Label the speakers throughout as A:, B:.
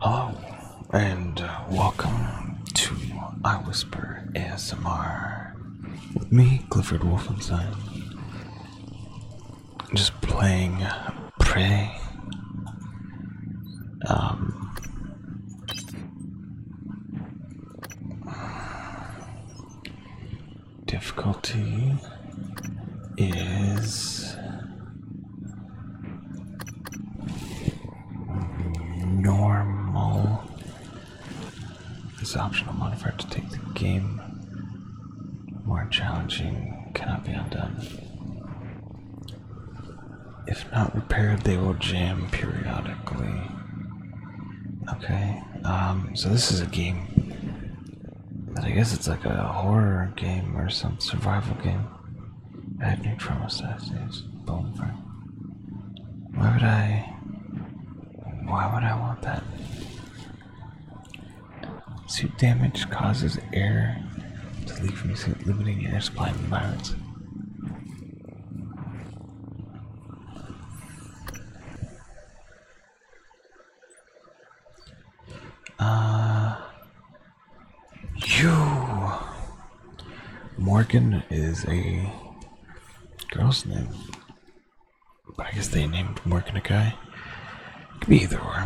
A: Hello, and uh, welcome to I Whisper ASMR with me, Clifford Wolfenstein. Just playing pray. Um, difficulty is Normal. This optional mode modifier to take the game more challenging cannot be undone. If not repaired, they will jam periodically. Okay, um, so this is a game that I guess it's like a horror game or some survival game. I have no trouble Thursdays. Bonfire. Why would I? Why would I want that? Suit damage causes air to leak from the suit, limiting air supply and violence.
B: Uh, you.
A: Morgan is a girl's name. But I guess they named Morgan a guy. Could be either or.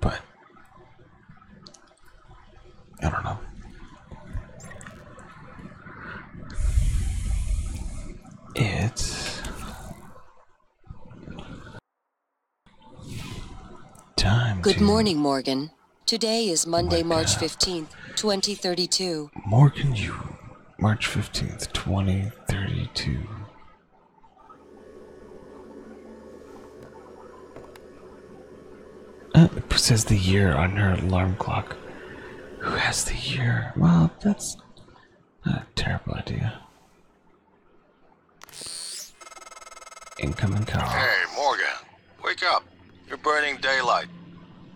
A: But. I don't know. It's Good
C: morning, Morgan. Today is Monday, March 15th, 2032.
A: Morgan, you. March 15th, 2032. Uh, it says the year on her alarm clock. Who has the year? Well, that's a terrible idea. Incoming call.
D: Hey, Morgan. Wake up. You're burning daylight.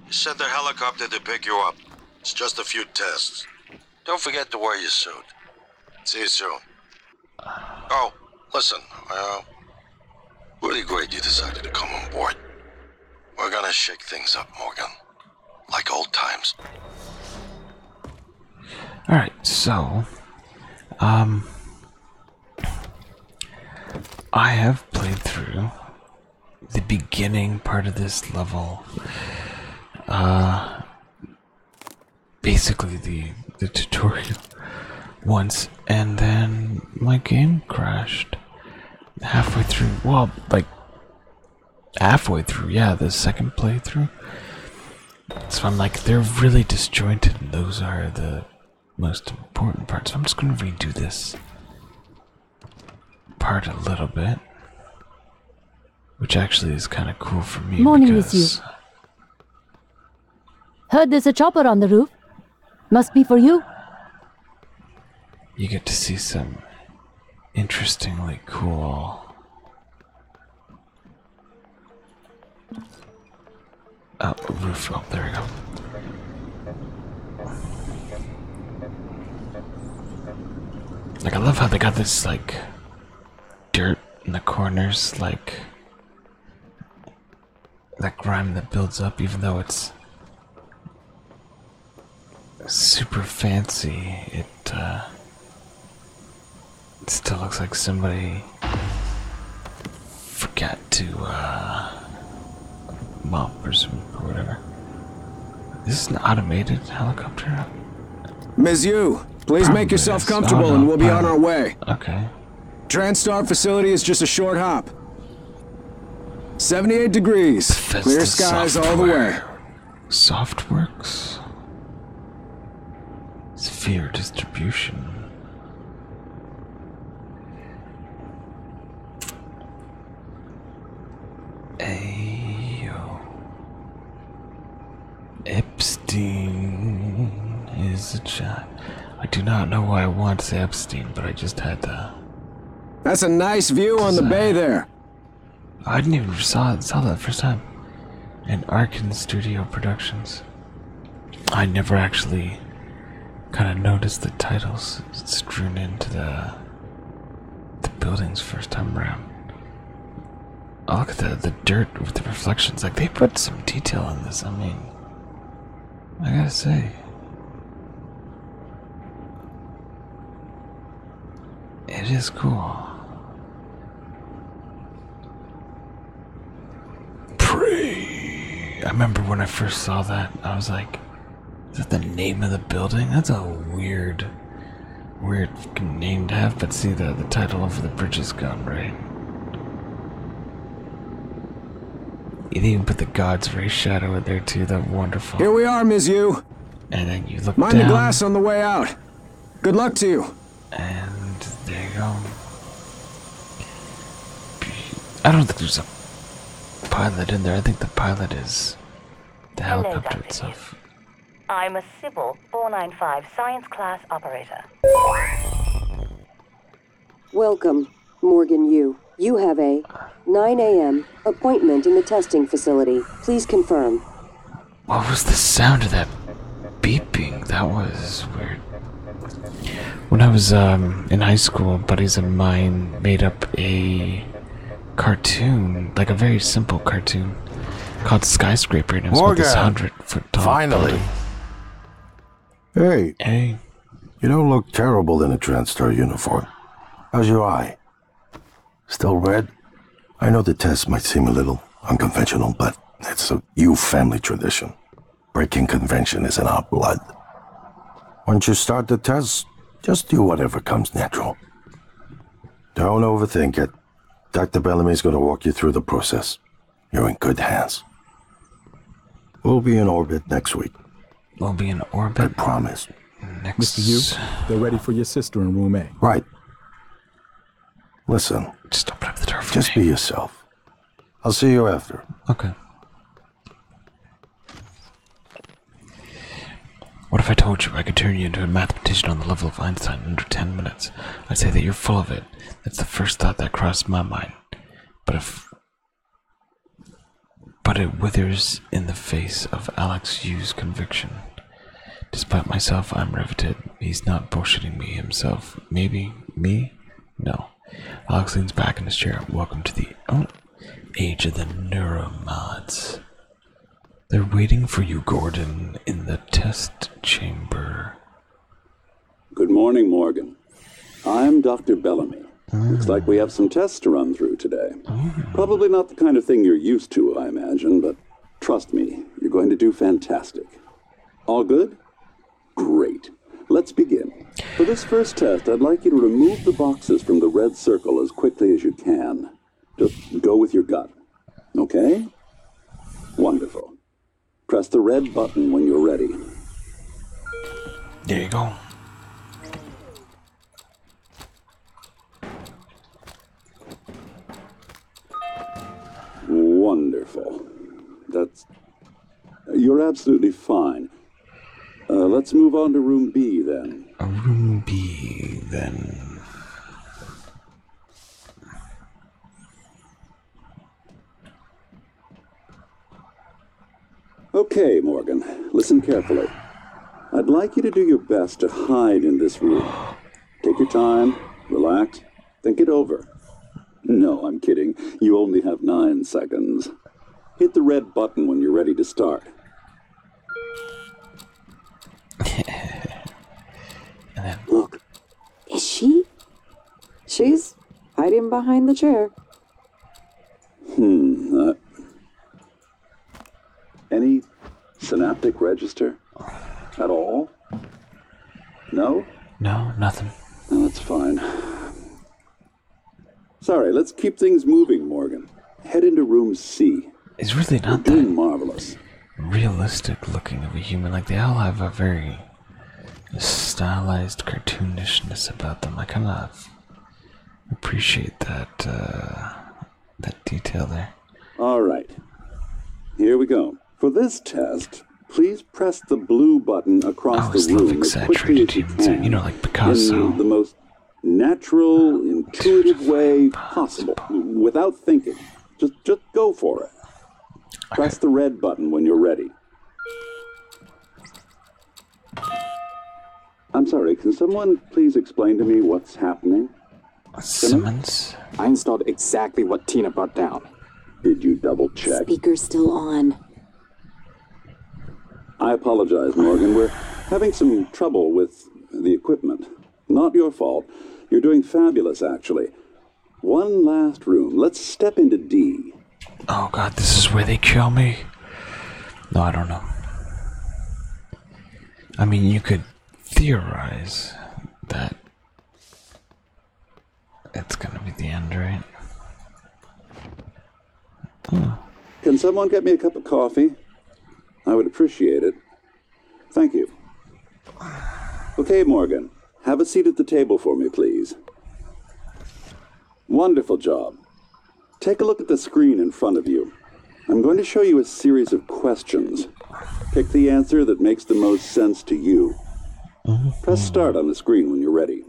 D: You said the helicopter to pick you up. It's just a few tests. Don't forget to wear your suit. See you soon. Oh, listen. Uh, really great you decided to come on board. We're gonna shake things up, Morgan like old times.
A: All right, so, um, I have played through the beginning part of this level. Uh, basically the the tutorial once, and then my game crashed halfway through. Well, like halfway through, yeah, the second playthrough. So I'm like, they're really disjointed, those are the most important parts. So I'm just going to redo this part a little bit, which actually is kind of cool for me. Morning with
C: Heard
E: there's a chopper on the roof. Must be for you.
A: You get to see some interestingly cool uh, roof up, oh, there we go. Like, I love how they got this, like, dirt in the corners, like, that grime that builds up, even though it's super fancy, it, uh, it still looks like somebody forgot to uh, mop or some or whatever. This is an automated helicopter. Ms. Yu, please make yourself comfortable oh, and we'll be on our way. Okay.
D: Transstar facility is just a short hop. 78 degrees. Clear skies all the way.
A: Softworks? Sphere distribution. Ayo. Epstein is a child. I do not know why I want to say Epstein, but I just had to. That's a nice view on the bay there. I didn't even saw saw that first time. An Arkin Studio Productions. I never actually kind of noticed the titles strewn into the the buildings first time around. Oh, look at the the dirt with the reflections. Like they put some detail in this. I mean, I gotta say. It is cool.
B: Pray.
A: I remember when I first saw that, I was like, is that the name of the building? That's a weird, weird name to have, but see, the, the title of the bridge is gone, right? You even put the God's very shadow in there, too. That wonderful. Here we are, Miss You. And then you look Mind the glass on the way out. Good luck to you. And there you go. I don't think there's a pilot in there. I think the pilot is the Hello, itself.
E: I'm a Sybil 495 science class operator.
C: Welcome, Morgan You You have a 9 a.m. appointment in the testing facility. Please confirm.
A: What was the sound of that beeping? That was weird. When I was um, in high school, buddies of mine made up a cartoon, like a very simple cartoon, called Skyscraper, and it was about this hundred foot tall. Finally.
D: Hey. Hey. You don't look terrible in a Transtar uniform. How's your eye? Still red? I know the test might seem a little unconventional, but it's a you family tradition. Breaking convention is in our blood. Once you start the test, just do whatever comes natural. Don't overthink it. Dr. Bellamy's going to walk you through the process. You're in good hands. We'll be in orbit next week. We'll be in orbit? I promise. Next. Mr. Yu, they're ready for your sister in room A. Right. Listen, Just open up the door just be yourself. I'll see you after. Okay.
A: What if I told you I could turn you into a mathematician on the level of Einstein in under 10 minutes? I'd say that you're full of it. That's the first thought that crossed my mind. But if. But it withers in the face of Alex Yu's conviction. Despite myself, I'm riveted. He's not bullshitting me himself. Maybe me? No. Alex leans back in his chair. Welcome to the oh, age of the neuromods. They're waiting for you, Gordon, in
F: the test chamber. Good morning, Morgan. I'm Dr. Bellamy. Looks like we have some tests to run through today. Hmm. Probably not the kind of thing you're used to, I imagine, but trust me, you're going to do fantastic. All good? Great. Let's begin. For this first test, I'd like you to remove the boxes from the red circle as quickly as you can. Just go with your gut. Okay? Wonderful. Press the red button when you're ready. There you go. Wonderful. That's. You're absolutely fine. Uh, let's move on to room B then. A room B then. Okay, Morgan, listen carefully. I'd like you to do your best to hide in this room. Take your time, relax, Think it over. No, I'm kidding. You only have nine seconds. Hit the red button when you're ready to start.
B: Look. Is she?
E: She's hiding behind the chair.
F: Hmm. Uh, any synaptic register at all? No? No? nothing. that's fine. Sorry, let's keep things moving, Morgan. Head into room C. It's really not that marvelous.
A: Realistic looking of a human. Like they all have a very stylized cartoonishness about them. I kind of appreciate that uh, that detail there.
F: All right, here we go. For this test, please press the blue button across oh, the room as quickly as you can.
A: know, like Picasso. In
F: the most natural, intuitive way possible, without thinking. Just, just go for it. Press the red button when you're ready. I'm sorry, can someone please explain to me what's happening? Simmons? I installed exactly what Tina brought down. Did you double check? Speaker's still on. I apologize, Morgan. We're having some trouble with the equipment. Not your fault. You're doing fabulous, actually. One last room. Let's step into D.
A: Oh god, this is where they kill me? No, I don't know. I mean, you could theorize that it's gonna be the end, right?
F: Can someone get me a cup of coffee? I would appreciate it. Thank you. Okay, Morgan, have a seat at the table for me, please. Wonderful job. Take a look at the screen in front of you. I'm going to show you a series of questions. Pick the answer that makes the most sense to you. Press oh. start on the screen when you're ready.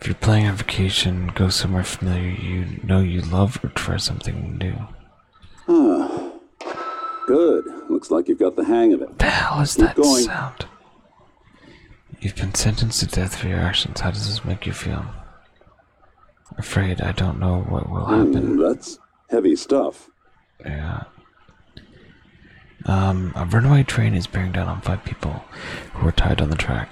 A: If you're playing on vacation, go somewhere familiar you know you love or try something new.
F: good. Looks like you've got the hang of it. the hell is that going. sound?
A: You've been sentenced to death for your actions. How does this make you feel? Afraid I don't know what will hmm,
F: happen. that's heavy stuff. Yeah.
A: Um, a runaway train is bearing down on five people who are tied on the track.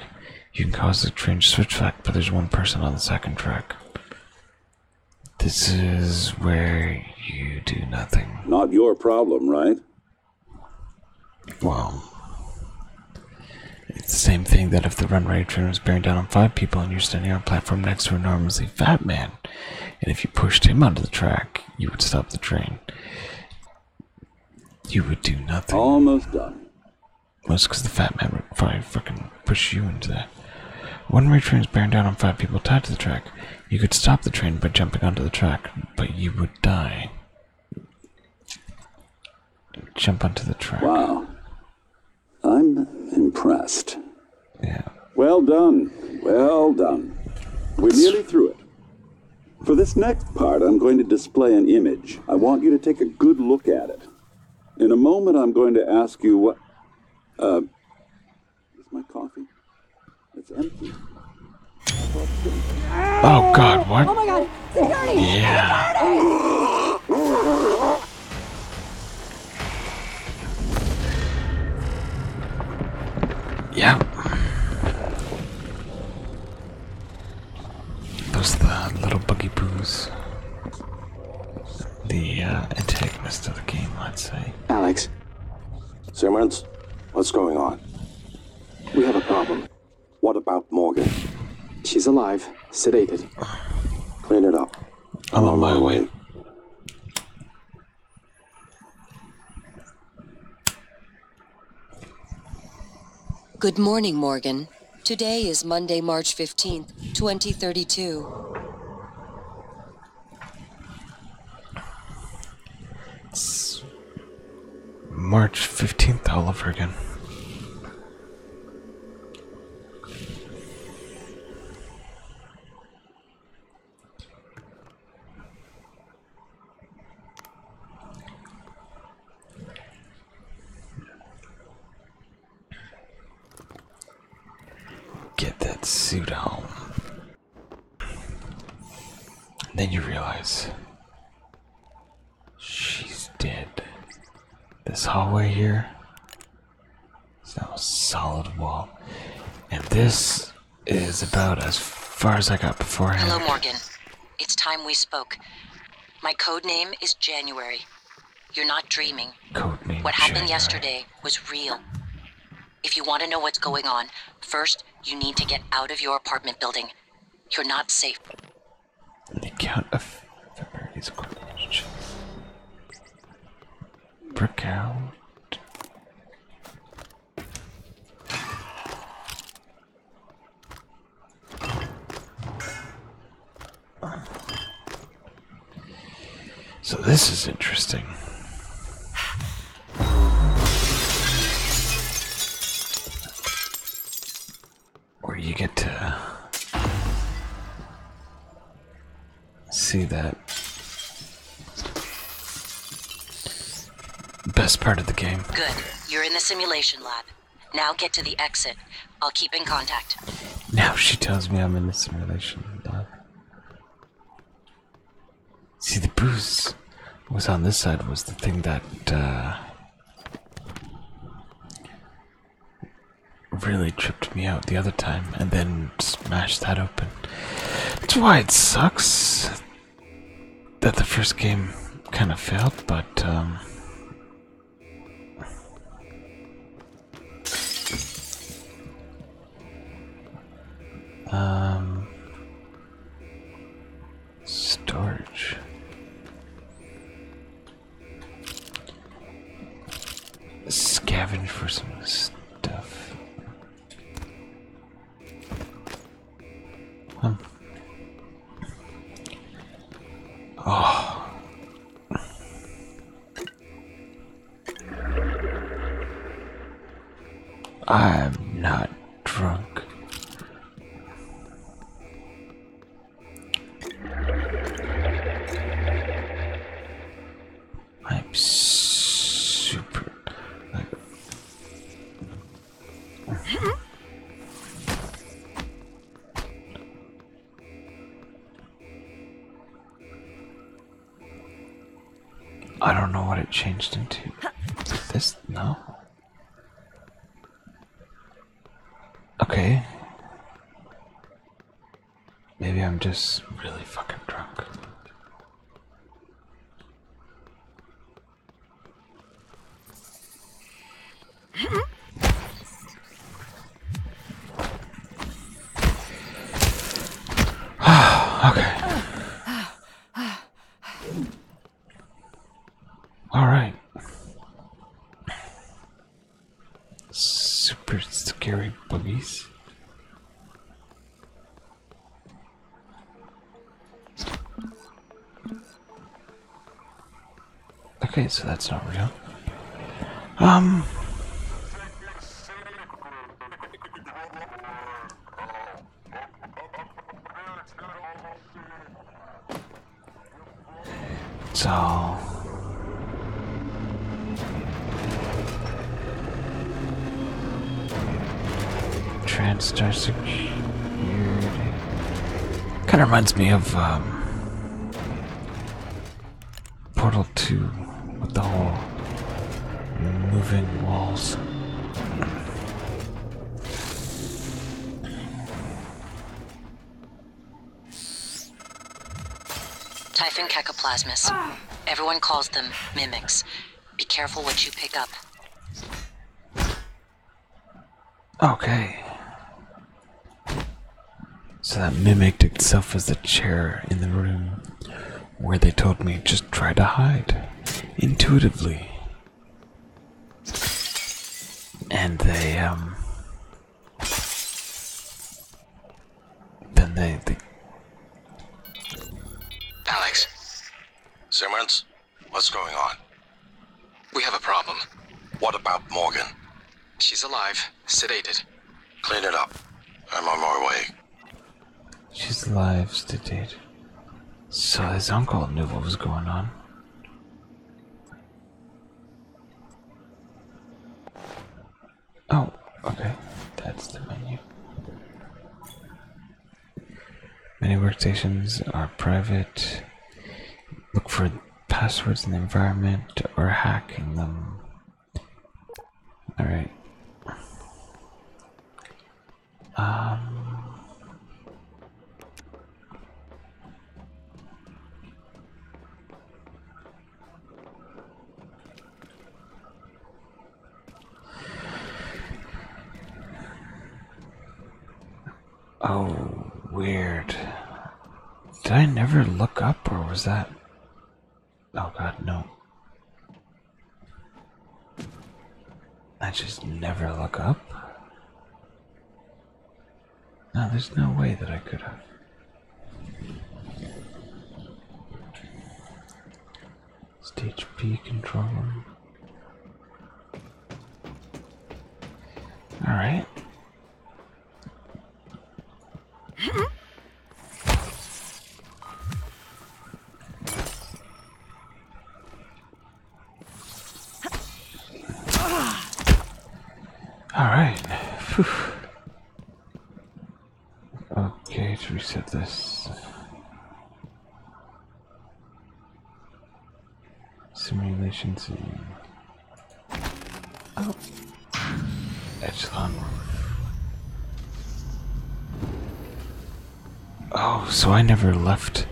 A: You can cause the train to switch back, but there's one person on the second track. This is where you do nothing.
F: Not your problem, right?
A: Well, it's the same thing that if the runaway train was bearing down on five people and you're standing on a platform next to an enormously fat man and if you pushed him onto the track, you would stop the train. You would do nothing. Almost done. Well, it's the fat man would probably fucking push you into that. One way trains bearing down on five people tied to the track. You could stop the train by jumping onto the track, but you
F: would die. Jump onto the track. Wow. I'm impressed. Yeah. Well done. Well done. We're nearly through it. For this next part, I'm going to display an image. I want you to take a good look at it. In a moment, I'm going to ask you what. Uh, is my coffee? It's empty. Oh God! What? Oh my God! Security! Yeah.
B: Oh, yeah.
A: Those the little boogie boos.
D: The uh, antagonist of the game, let's say. Alex. Simmons, what's going on? We have a problem. What about Morgan? She's alive, sedated. Clean it up. I'm on my way.
C: Good morning, Morgan. Today is Monday, March 15th, 2032.
A: March 15th all over again. Get that suit home. then you realize she's dead. This hallway here it's now a solid wall. And this is about as far as I got beforehand. Hello,
E: Morgan. It's time we spoke. My code name is January. You're not dreaming. Code name what happened yesterday was real. If you want to know what's going on, first you need to get out of your apartment building. You're not safe.
A: Break out. So this is interesting. Where you get to see that. Best part of the game.
E: Good. You're in the simulation lab. Now get to the exit. I'll keep in contact.
A: Now she tells me I'm in the simulation lab. See, the bruise was on this side was the thing that uh, really me out the other time and then smashed that open. That's why it sucks that the first game kind of failed, but um, um starch scavenge for some stuff.
B: Huh. Hmm. Oh.
A: I'm not drunk. I'm super. I don't know what it changed into. This no. Okay. Maybe I'm just really fucking drunk.
B: okay. All right.
A: Super scary boogies. Okay, so that's not real. Um. So. Transtar security. Kind of reminds me of um, Portal 2 with the whole moving walls.
E: Typhon cacoplasmas. Everyone calls them mimics. Be careful what you pick up.
A: Okay. So that mimicked itself as the chair in the room where they told me just try to hide intuitively. And they, um.
D: The anything. Alex, Simmons, what's going on? We have a problem. What about Morgan? She's alive, sedated. Clean it up. I'm on my way.
A: She's alive, sedated. So his uncle knew what was going on. Oh, okay, that's the menu. Many workstations are private. Look for passwords in the environment or hacking them. Alright. Um. Oh, weird. Did I never look up, or was that? Oh god, no. I just never look up? No, there's no way that I could have. Stage B controller. All right. All right. Okay, to reset this. Simulation scene. Oh. Echelon. Oh, so I never left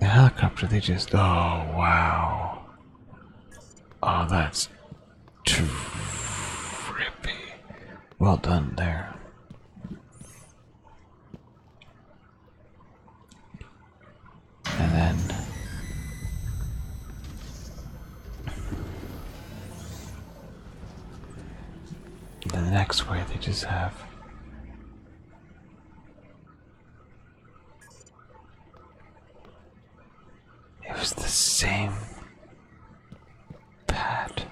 A: the helicopter. They just. Oh, wow. Oh, that's Trippy. Well done there. And then. The next way they just have. It was the same Pat.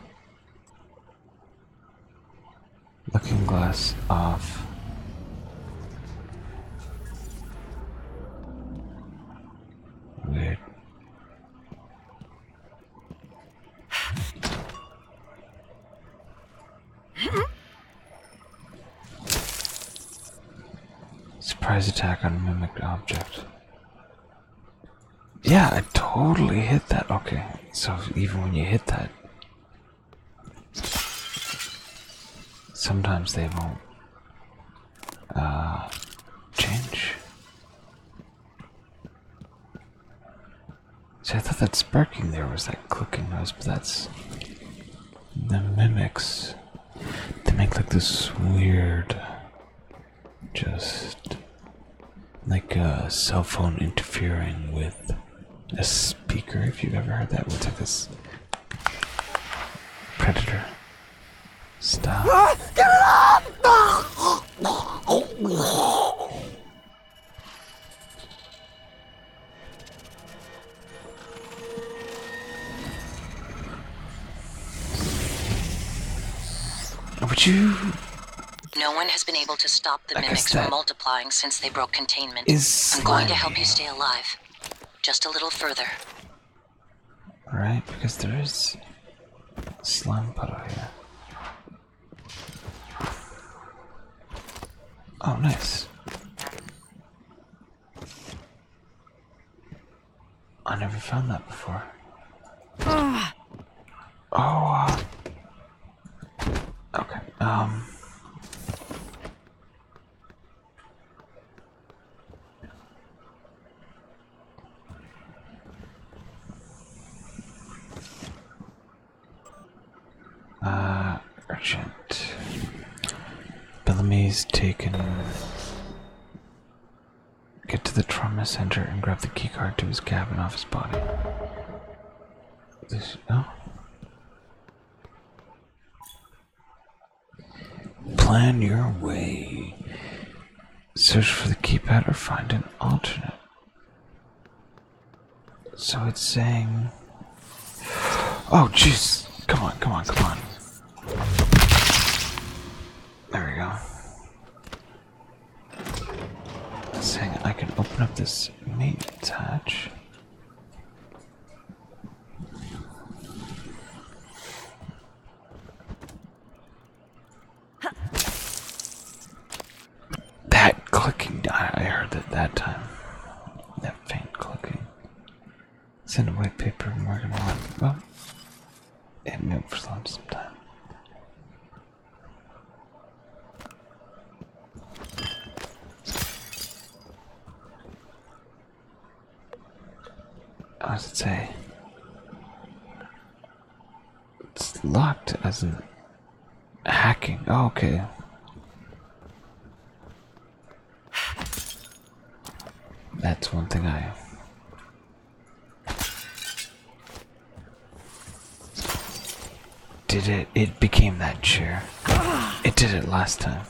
A: Looking glass off. Weird. Surprise attack on mimic object. Yeah, I totally hit that. Okay, so even when you hit that, sometimes they won't uh, change. See, I thought that sparking there was that clicking noise, but that's the mimics. They make like this weird just like a cell phone interfering with a speaker. If you've ever heard that, what's like this predator?
B: Stop. Ah, get it off!
A: Would you
E: no one has been able to stop the mimics from multiplying since they broke containment. I'm going to help you stay alive. Just a little further.
A: Right, because there is slime puddle here. Oh, nice. I never found that before. Uh. Oh. Uh,
B: okay. Um.
A: Uh, urgent. Bellamy's taken Get to the trauma center and grab the keycard to his cabin off his body. This, oh. Plan your way. Search for the keypad or find an alternate. So it's saying. Oh, jeez. Come on, come on, come on. There we go. Saying I can open up this meat attach. That clicking, I heard that that time. That faint clicking. Send away paper and we're going I should say it's locked as in hacking. Oh, okay. That's one thing I did it? It became that chair. It did it last time.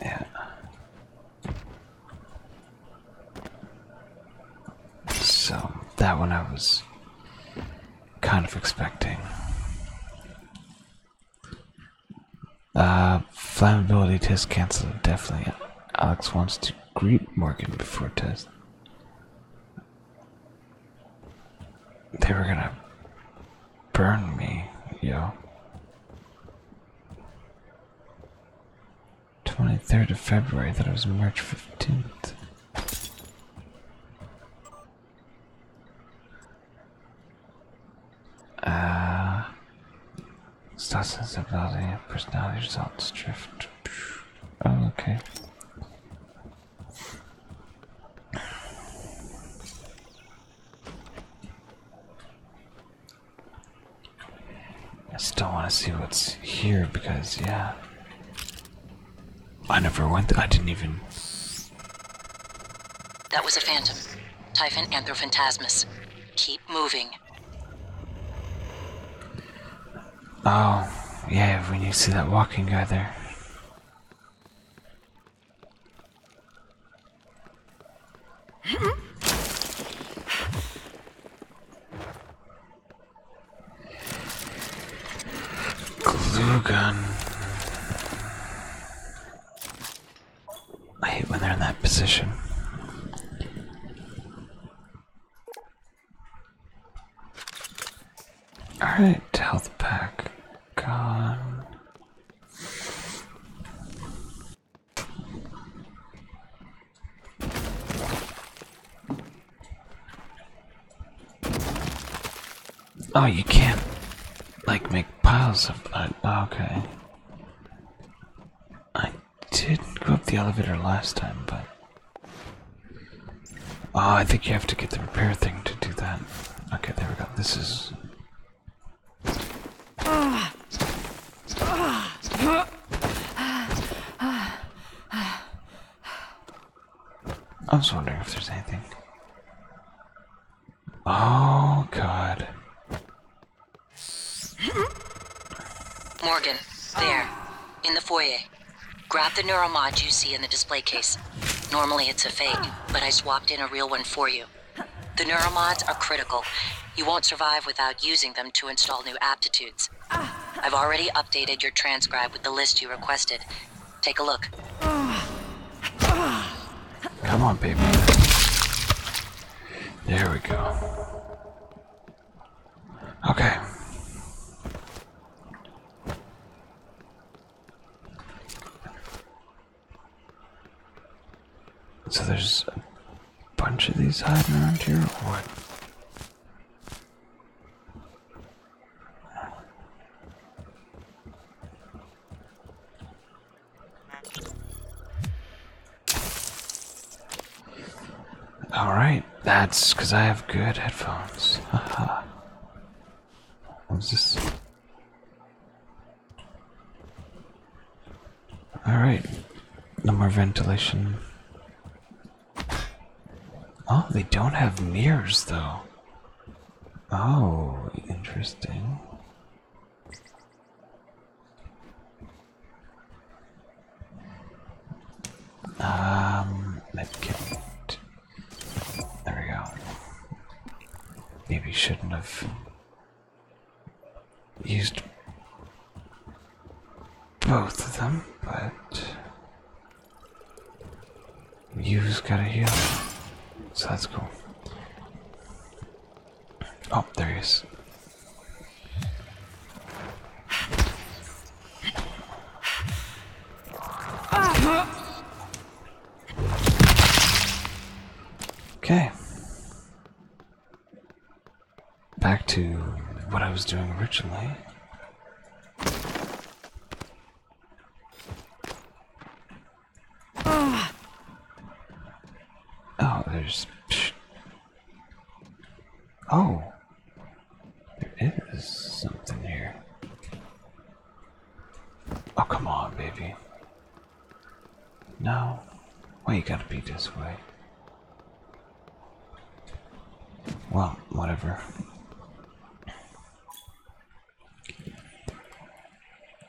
A: Yeah. So, that one I was kind of expecting. Uh, flammability test cancelled, definitely. Alex wants to Research Greek market before test. They were gonna burn me, yo. 23rd of February, That was March 15th. Uh, Star sensibility, personality results, drift. Oh, okay. I still want to see what's here because, yeah. I never went. I didn't even.
E: That was a phantom. Typhon Anthrophantasmus. Keep moving.
A: Oh, yeah, When you see that walking guy there. Glue gun. I hate when they're in that position. Alright, health pack gone. Oh, you can't, like, make piles of that. okay. I didn't go up the elevator last time, but. Oh, I think you have to get the repair thing to do that. Okay, there we go. This is. I was wondering if there's anything. Oh, God.
E: Morgan, there in the foyer. Grab the neuromod you see in the display case. Normally it's a fake, but I swapped in a real one for you. The neuromods are critical. You won't survive without using them to install new aptitudes. I've already updated your transcribe with the list you requested. Take a look. Come
A: on, baby. There we go. Okay. So there's a bunch of these hiding around here, what? Alright, that's because I have good headphones. What's this? Alright, no more ventilation. Oh, they don't have mirrors though. Oh, interesting.
B: Um, let There
A: we go. Maybe shouldn't have used both of them, but you've got a heal, so that's cool. Oh, there he is. Okay. Back to what I was doing originally. Ah. Oh, there's. Oh, there is something here. Oh, come on, baby. No. Why you gotta be this way? Well, whatever.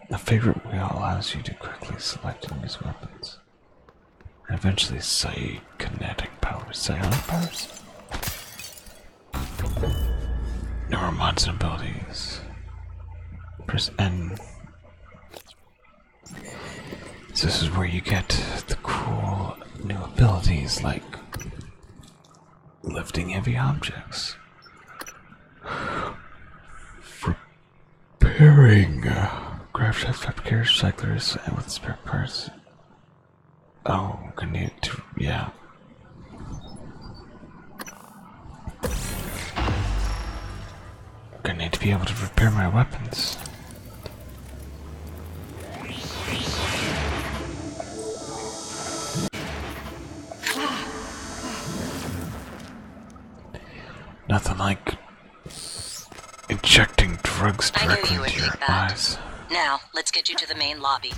A: The favorite wheel allows you to quickly select and use weapons. And eventually psychic kinetic powers, psychic powers? new mods and abilities. Press N. this is where you get the cool new abilities like lifting heavy objects. Repairing craft shaft fabricators, cyclers, and with spare parts. Oh, connect. Yeah. Gonna need to be able to repair my weapons. Nothing like Injecting drugs directly into your eyes.
E: Now, let's get you to the main lobby.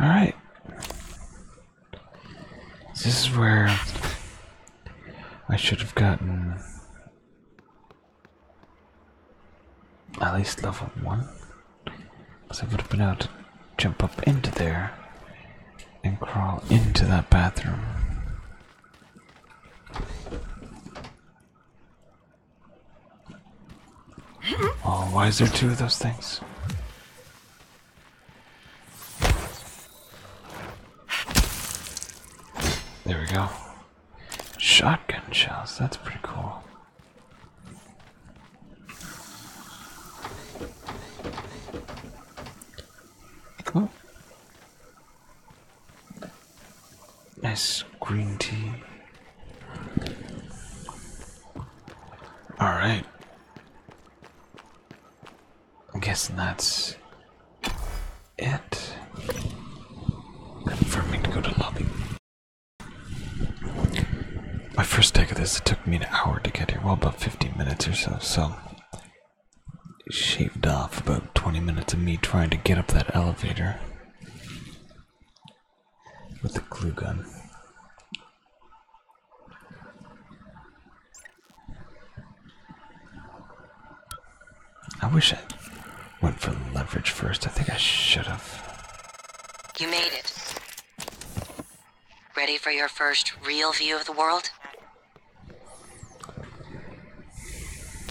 A: Alright. This is where I should have gotten at least level 1. Because I would have been able to jump up into there and crawl into that bathroom. Oh, why is there two of those things? There we go. Shotgun shells, that's pretty cool. Oh. Nice green tea. Alright. I'm guessing that's it. For me to go to lobby. My first take of this, it took me an hour to get here. Well, about 15 minutes or so, so shaved off about 20 minutes of me trying to get up that elevator with the glue gun.
B: I wish I went for leverage
A: first. I think I should have.
E: You made it. Ready for your first real view of the world?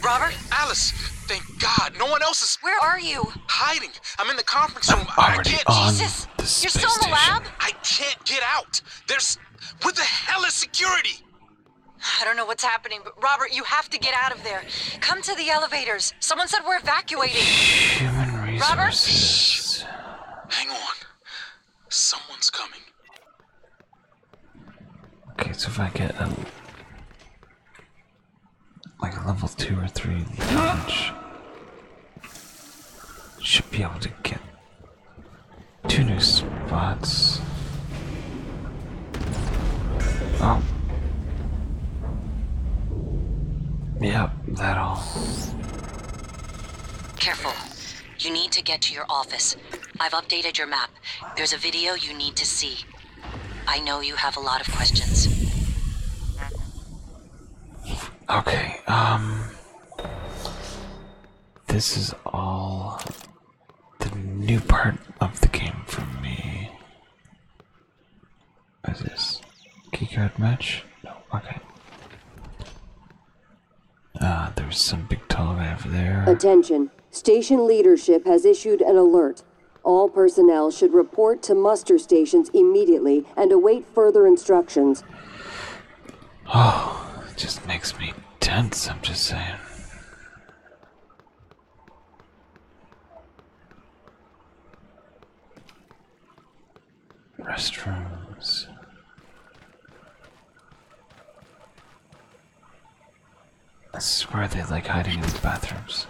D: Robert? Alice! Thank God! No one else is. Where are you? Hiding. I'm in the conference room. i can't. Jesus! You're still in the lab? I can't get out.
E: There's. What the hell is security? I don't know what's happening, but Robert, you have to get out of there. Come to the elevators. Someone said we're evacuating. Human
A: resources. Robert? Hang on. Someone's coming. Okay, so if I get a, um, like a level two or three should be able to get two new spots. Oh. Yep, that all. Careful. You need to get to
E: your office. I've updated your map. There's a video you need to see. I know you have a lot of questions.
B: Okay,
A: um. This is all the new part of the game for me. Is this keycard match? No, okay. Ah, there's some big tall over there.
C: Attention. Station leadership has issued an alert. All personnel should report to muster stations immediately and await further instructions.
A: Oh, it just makes me tense, I'm just saying. Restrooms. I swear they like hiding in the bathrooms.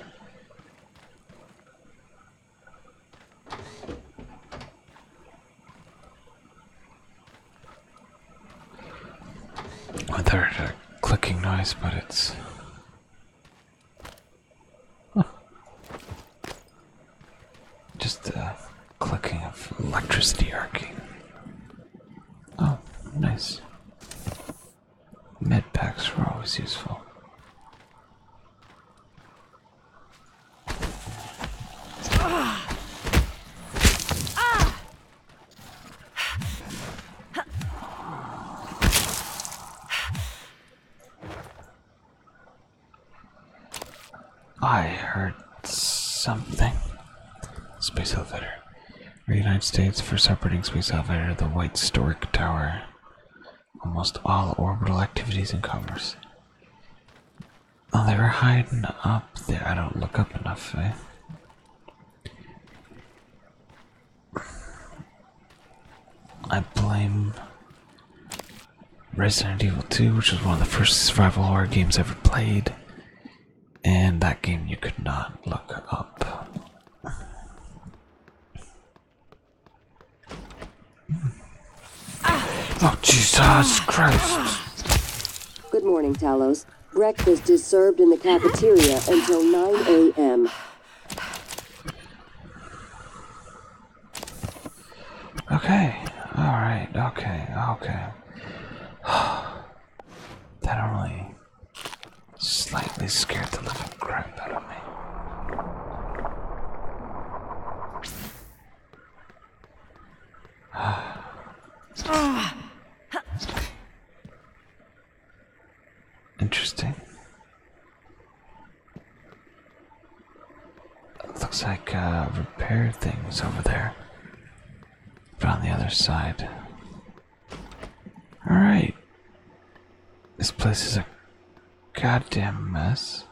A: I heard a clicking noise, but it's. Just the clicking of electricity arcing Oh, nice. Med packs were always useful. I heard something. Space elevator. United States for operating space elevator, the White Stork Tower. Almost all orbital activities in commerce. Oh, they were hiding up there. I don't look up enough, eh? I blame Resident Evil 2, which was one of the first survival horror games ever played. And that game you could not look up. Oh, Jesus Christ.
C: Good morning, Talos. Breakfast is served in the cafeteria until 9 a.m.
A: Okay. All right. Okay. Okay. that only slightly scared the living crap out of me. Interesting. looks like uh, repair things over there. But on the other side. Alright. This place is a goddamn mess.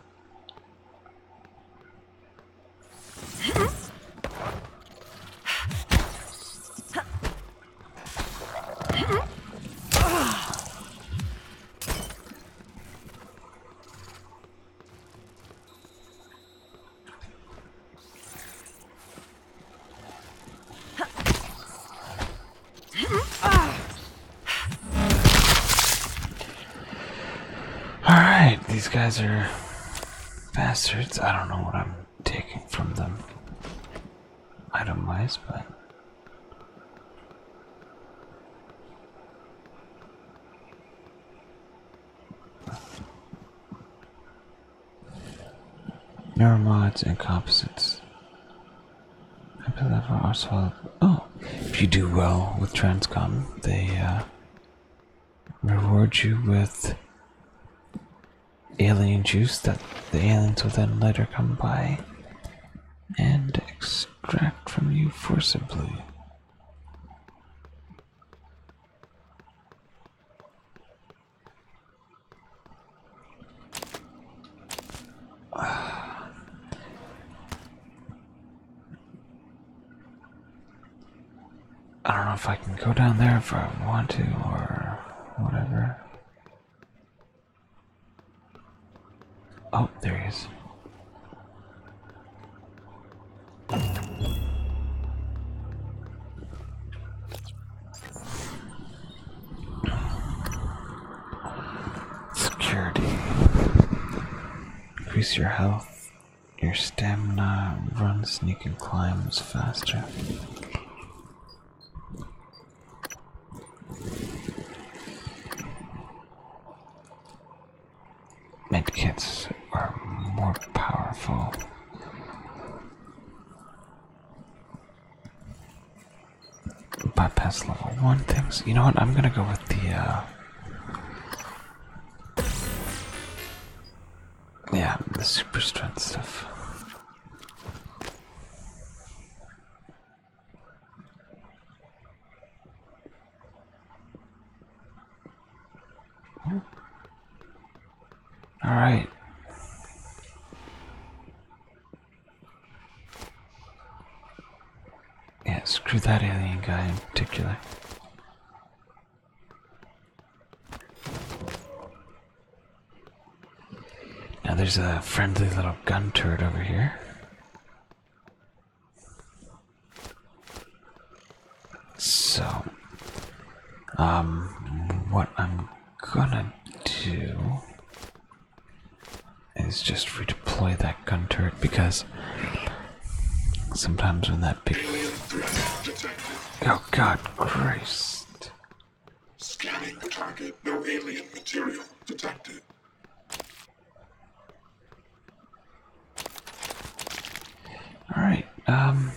A: Alright, these guys are bastards. I don't know what I'm taking from them item wise, but. Neuromods and composites. Happy level are Oh, if you do well with Transcom, they uh, reward you with alien juice that the aliens will then later come by and extract from you forcibly. I don't know if I can go down there if I want to or whatever. Oh, there he is.
B: Security.
A: Increase your health, your stamina, run, sneak, and climbs faster. Medkits are more powerful. Bypass level one things. You know what? I'm gonna go with the. Uh... Yeah, the super strength stuff.
B: All right.
A: Yeah, screw that alien guy in particular. Now there's a friendly little gun turret over here. So, um, what I'm gonna do is just redeploy that gun turret because sometimes when that big oh god Christ scanning the target no alien material detected
B: all right um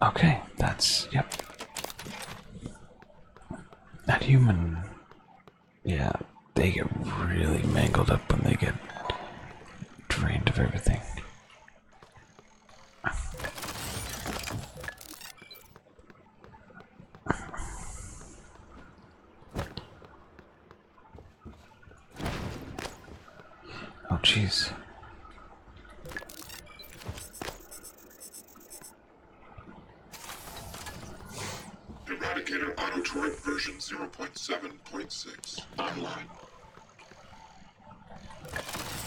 B: Okay,
A: that's yep. That human, yeah, they get really mangled up when they get drained of everything. Oh, jeez. Eradicator Auto version 0.7.6 online.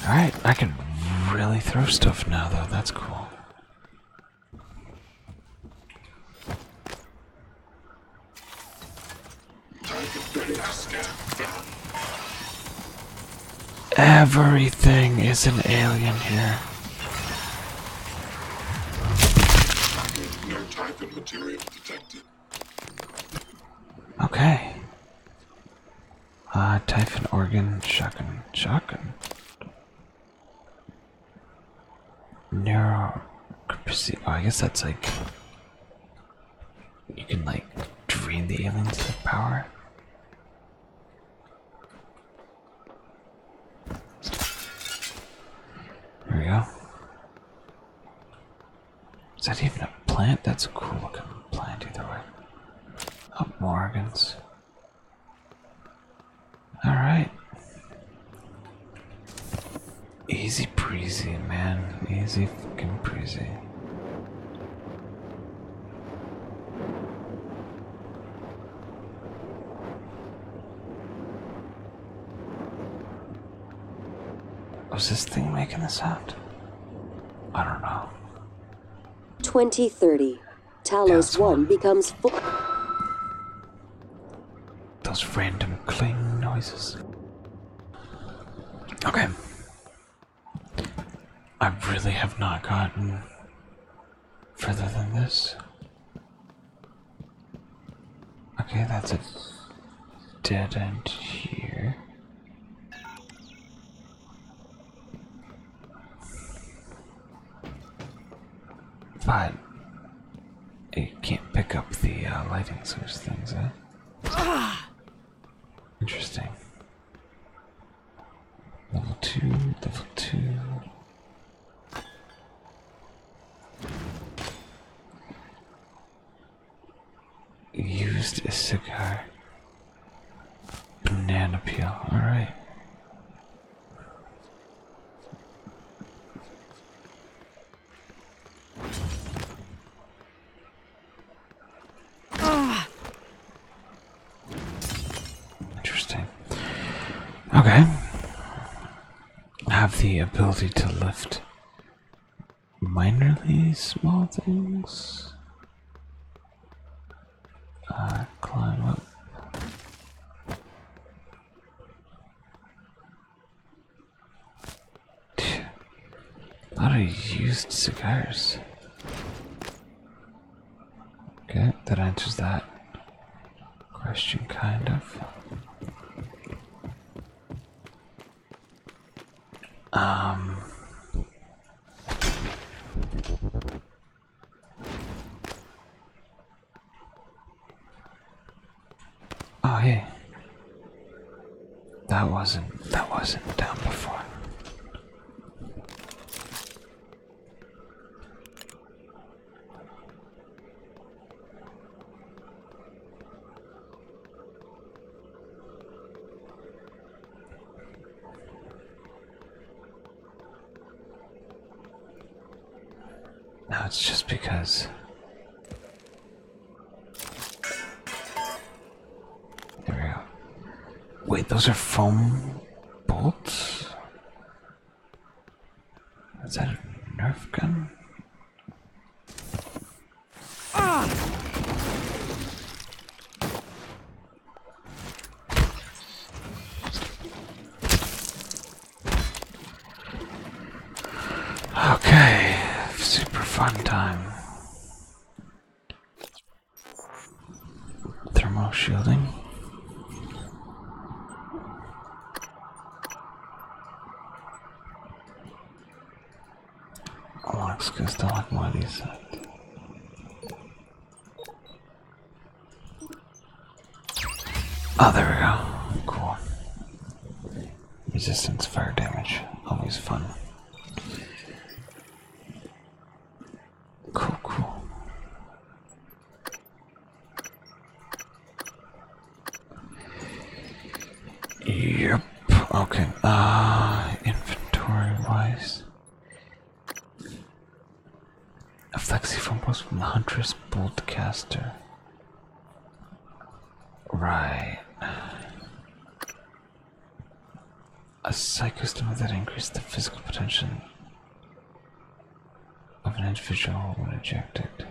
A: Alright, I can really throw stuff now, though. That's cool. Everything is an alien here. Okay. Uh, Typhon organ, shotgun, shotgun. Neuro. Oh, I guess that's like. You can like drain the aliens of power. There we go. Is that even a plant? That's a cool looking plant either way. Up oh, Morgans. Alright. Easy breezy, man. Easy fucking breezy. Was this thing making a sound? I don't know.
C: 2030. Talos 1 becomes full.
A: Those random cling noises. Okay. I really have not gotten further than this. Okay, that's a dead end here. Fine. It can't pick up the uh, lighting source things, huh? Interesting. Level 2, level 2 used a cigar. Banana peel, alright. Interesting. Okay. Have the ability to lift minorly small things. I uh, climb up. A lot of used cigars. Okay, that answers that question, kind of.
B: Um,
A: oh, hey. That wasn't that wasn't done before. No, it's just because there we go. Wait, those are foam bolts? Is that a nerf gun? Ah. Okay, super fun time. Thermal shielding. Alaska stalagmite, he said. Oh, there we go. Cool. Resistance fire damage. Always fun. Cool, cool. Yep. Okay. Uh, inventory wise. A flexiphone was from the Huntress broadcaster. Right. A psychostim that increased the physical potential of an individual when ejected.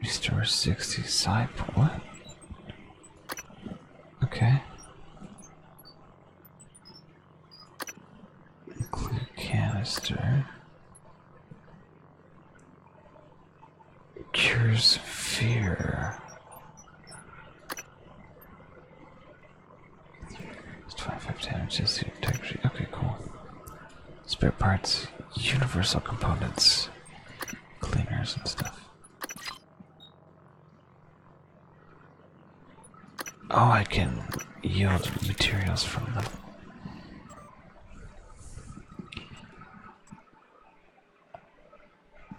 A: Restore 60 side. What? Okay. Clear canister. Cures fear. It's 25 damage is Okay, cool. Spare parts, universal components, cleaners and stuff. Oh, I can yield materials from them.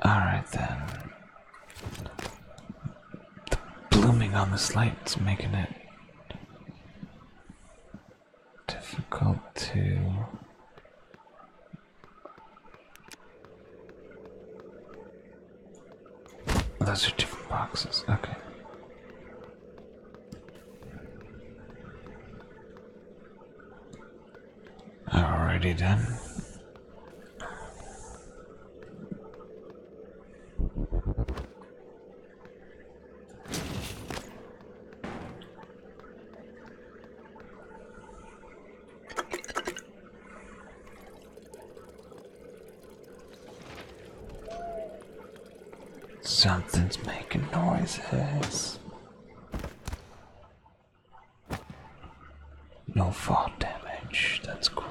A: Alright then. The blooming on this light light's making it difficult to those are different boxes. Okay. Already done. Something's making noises. No fall damage, that's cool.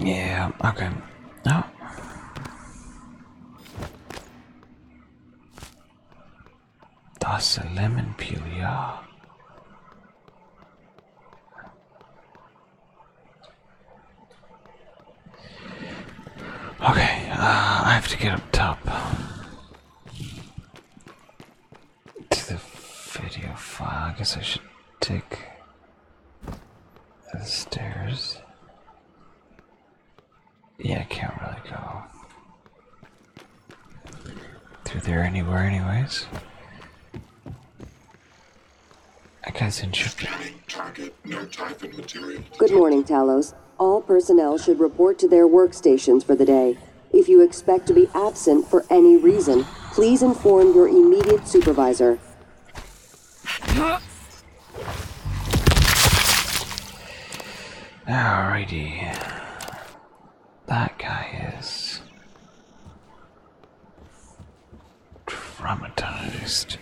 A: Yeah, okay. Oh. That's a lemon peel, yeah. Okay, uh, I have to get up top to the video file. I guess I should take the stairs. Yeah, I can't really go through there anywhere, anyways.
C: Good morning, Talos. All personnel should report to their workstations for the day. If you expect to be absent for any reason, please inform your immediate
A: supervisor. Alrighty. That guy is traumatized.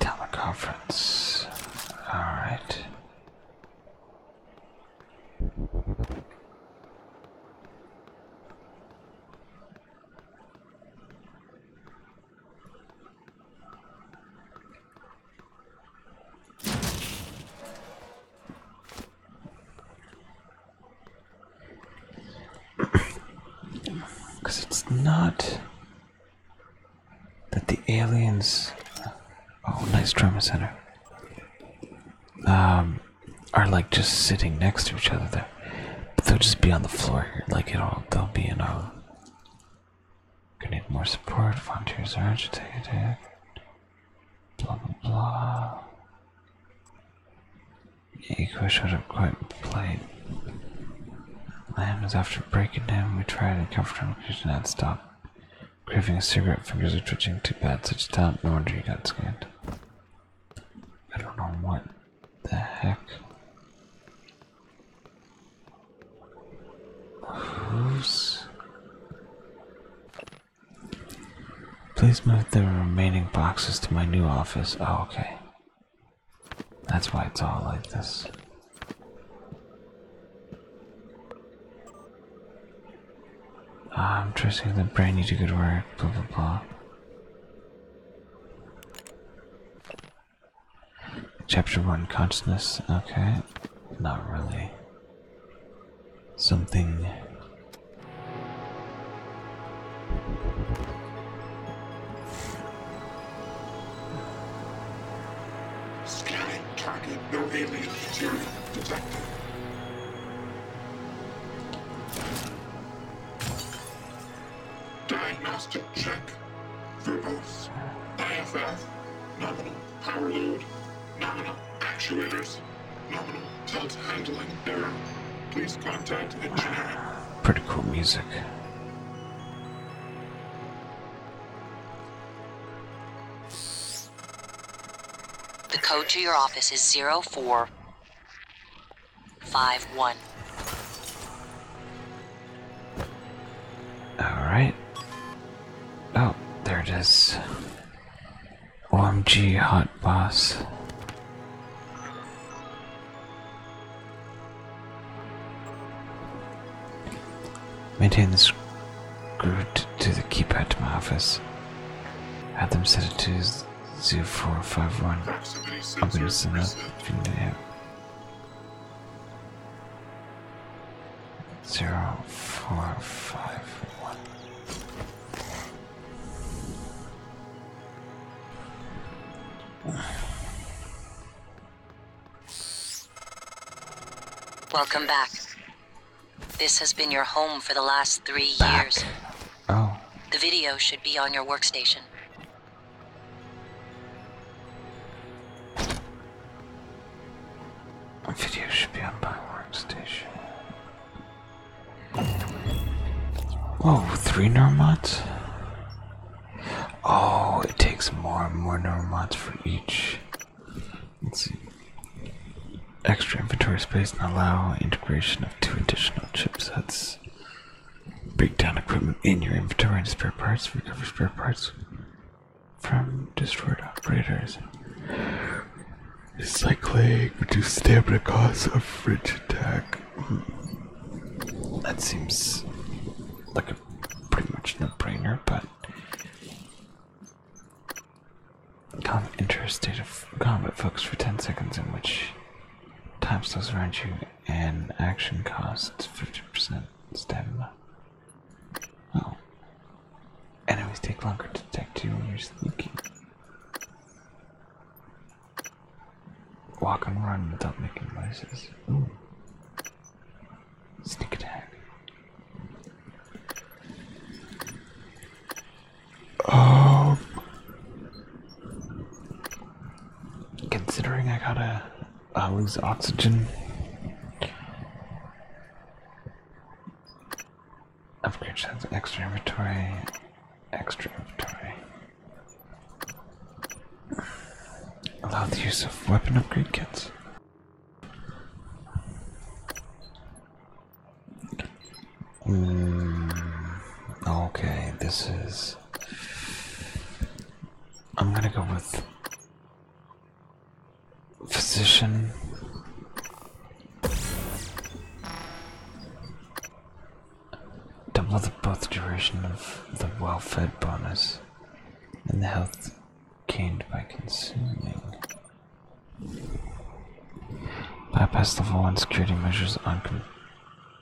A: Teleconference. All right. Because it's not that the aliens. Oh, nice trauma center. Um, are like just sitting next to each other there. But they'll just be on the floor here, like it'll they'll be in a going need more support, volunteers are agitated.
B: Blah blah blah.
A: Eco should have quite played. Lamb is after breaking down. we tried to comfort him because he did not stop. Craving a cigarette, fingers are twitching too bad, such talent, no wonder you got scared. I don't know what the heck? Hooves? Please move the remaining boxes to my new office. Oh, okay. That's why it's all like this. Ah, I'm trusting the brain to good work, blah blah blah. Chapter 1 Consciousness. Okay. Not really. Something.
B: Scanning target, no alien material detected. Diagnostic check. Verbose. IFF. Nominal power load. Nominal actuators.
A: Nominal tilt handling error. Please contact engineer. Pretty cool music.
E: The code to your office is 04. Five one.
A: Alright. Oh, there it is. OMG hot boss. Maintain this screw to the keypad to my office. Have them set it to 0451. I'm gonna send that. Zero, four,
B: five, one.
E: Welcome back. This has been your home for the last three years. Oh. The video should be on your workstation.
A: Video should be on my workstation. Whoa, three neuromods? Oh, it takes more and more neuromods for each. Let's see. Extra inventory space and allow integration of two additional chipsets. Break down equipment in your inventory and spare parts. Recover spare parts from destroyed operators. Recycling. Reduce stamina costs of fridge attack. That seems like a pretty much no-brainer, but come enter a state of combat, folks, for 10 seconds in which time slows around you and action costs 50% stamina. Oh. Enemies take longer to detect you when you're sneaking. Walk and run without making noises. Sneak attack. Oh. Considering I gotta uh, lose oxygen, upgrade has extra inventory, extra inventory. Allow the use of weapon upgrade kits. Mm, okay, this is I'm gonna go with physician. Double the both duration of the well-fed bonus and the health gained by consuming. Bypass level 1 security measures on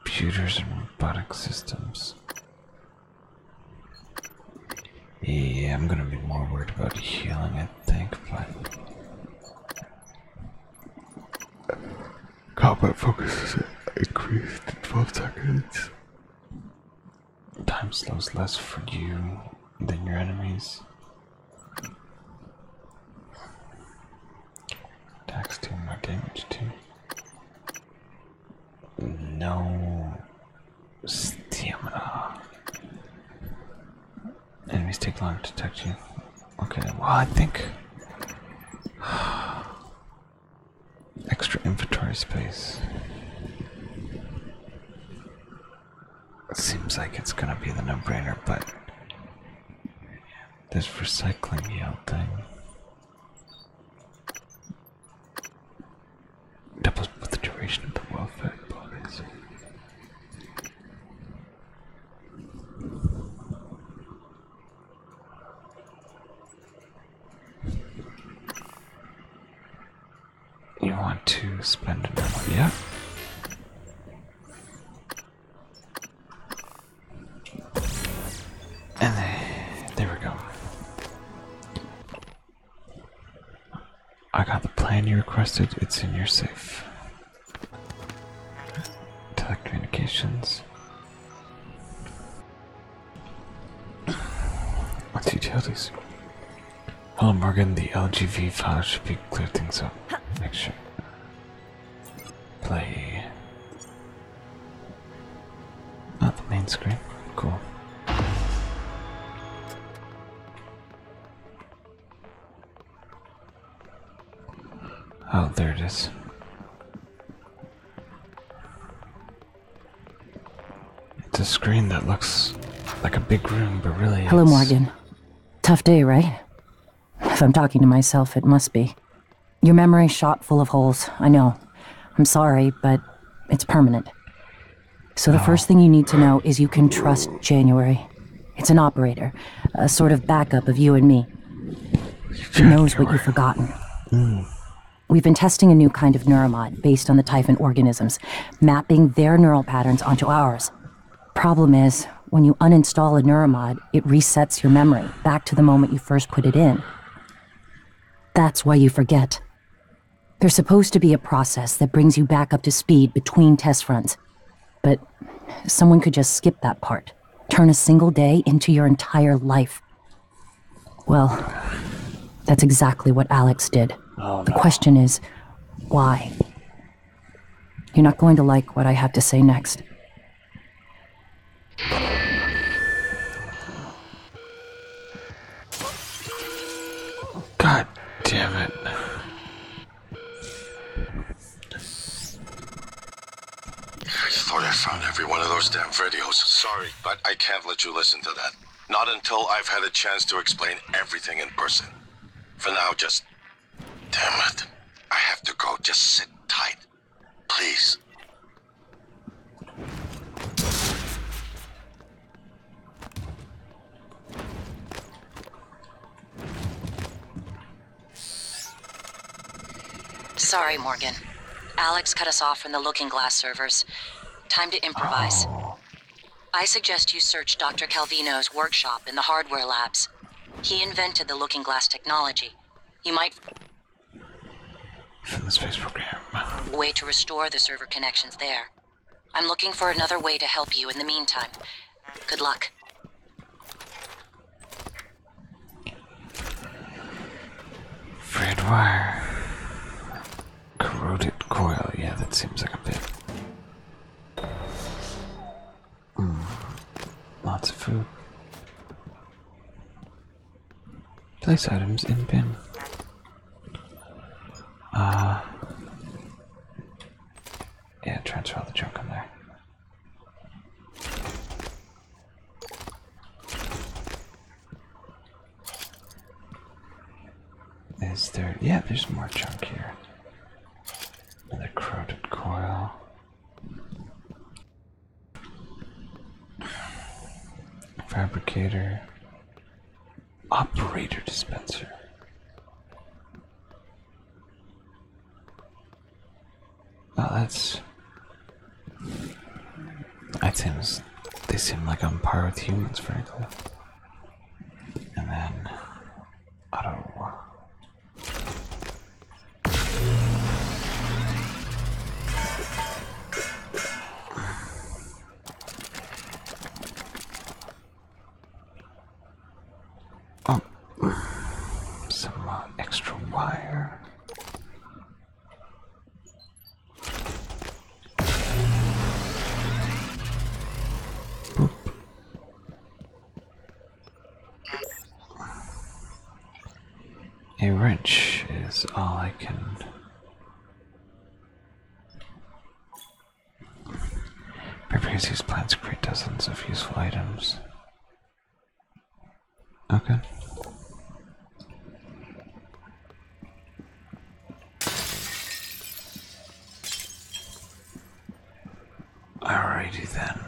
A: computers and robotic systems. Yeah, I'm gonna be more worried about healing, I think, but... Combat focus is increased in 12 seconds. Time slows less for you than your enemies. Attacks do more damage too no stamina. Enemies take longer to touch you. Okay, well, I think. Extra inventory space. seems like it's gonna be the no brainer, but. This recycling yield thing. Doubles with the duration of the welfare policy. You want to spend
B: another, yeah?
A: And there, we go. I got the plan you requested, it's in your safe. Telecommunications. What's utilities? Hello, Morgan. The LGV file should be clear things up. Make sure. Play. Not the main screen. Cool. Oh, there it is. It's a screen that looks like a big room, but really. Hello, Morgan.
E: Tough day, right? If I'm talking to myself, it must be. Your memory shot full of holes. I know. I'm sorry, but it's permanent. So the first thing you need to know is you can trust January. It's an operator, a sort of backup of you and me. She knows what you've forgotten. Hmm. We've been testing a new kind of neuromod based on the typhon organisms, mapping their neural patterns onto ours. Problem is, when you uninstall a neuromod, it resets your memory back to the moment you first put it in. That's why you forget. There's supposed to be a process that brings you back up to speed between test runs. But someone could just skip that part, turn a single day into your entire life. Well, that's exactly what Alex did. Oh, the question is, why? You're not going to like what I have to say next.
B: God
D: damn it. I thought I found every one of those damn videos. Sorry, but I can't let you listen to that. Not until I've had a chance to explain everything in person. For now, just. Damn it. I have to go. Just sit tight. Please.
E: Sorry, Morgan. Alex cut us off from the Looking Glass servers. Time to improvise. I suggest you search Dr. Calvino's workshop in the hardware labs. He invented the Looking Glass technology. You might. From the space program. Way to restore the server connections there. I'm looking for another way to help you in the meantime. Good luck.
A: Fred Corroded coil. Yeah, that seems like a bit. Hmm. Lots of food. Place items in bin. Uh,
B: yeah, transfer all the junk in there.
A: Is there? Yeah, there's more junk here. Another corroded coil. Fabricator. Operator dispenser. Oh, that's. items. They seem like on par with humans, frankly. And then. Auto. Oh, some uh, extra wire. A wrench is all I can Various these plants create dozens of useful items. Okay. Alrighty then.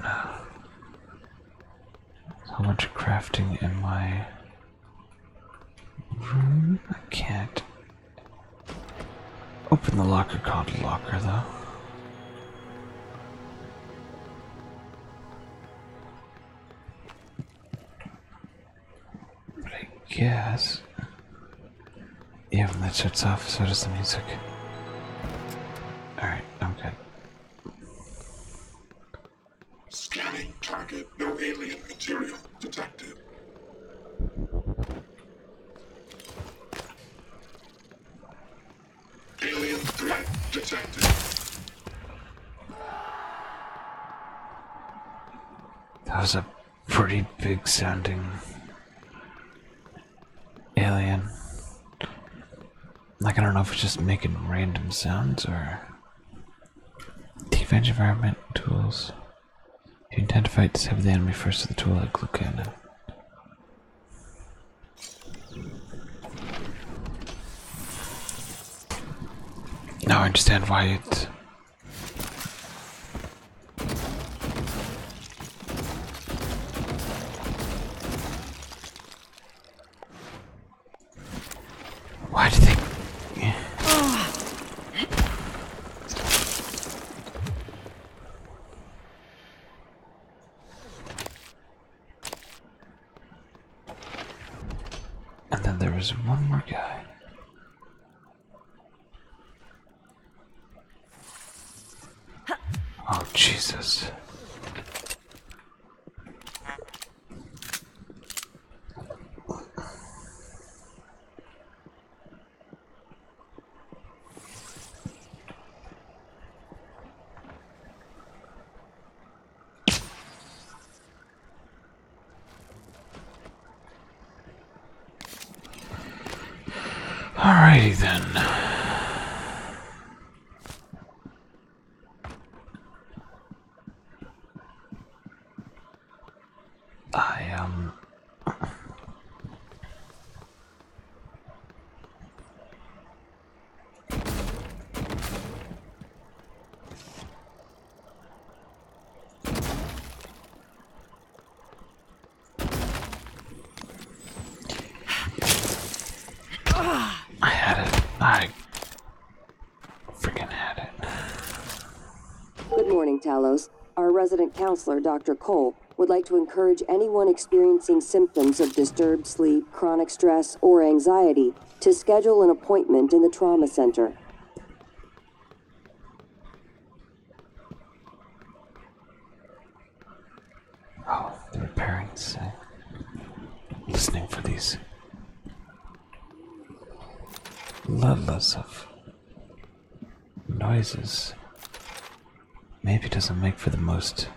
A: How much crafting in my?
B: I
A: can't open the locker called locker though. I guess yeah, when that shuts off, so does the music. Alright, I'm
B: good. Scanning target, no alien material detected. Alien threat detected.
A: That was a pretty big sounding alien. Like, I don't know if it's just making random sounds or Defense environment tools. you identify to fight, disable the enemy first to the tool like glue cannon. Now I understand why it why do they... And then there is one more guy. Oh, Jesus.
B: Alrighty then. I um I had it.
A: I
C: Good morning, Talos. Our resident counselor, Dr. Cole, would like to encourage anyone experiencing symptoms of disturbed sleep, chronic stress, or anxiety to schedule an appointment in the trauma center.
A: Oh, their parents uh, listening for these lots of noises. Maybe doesn't make for the most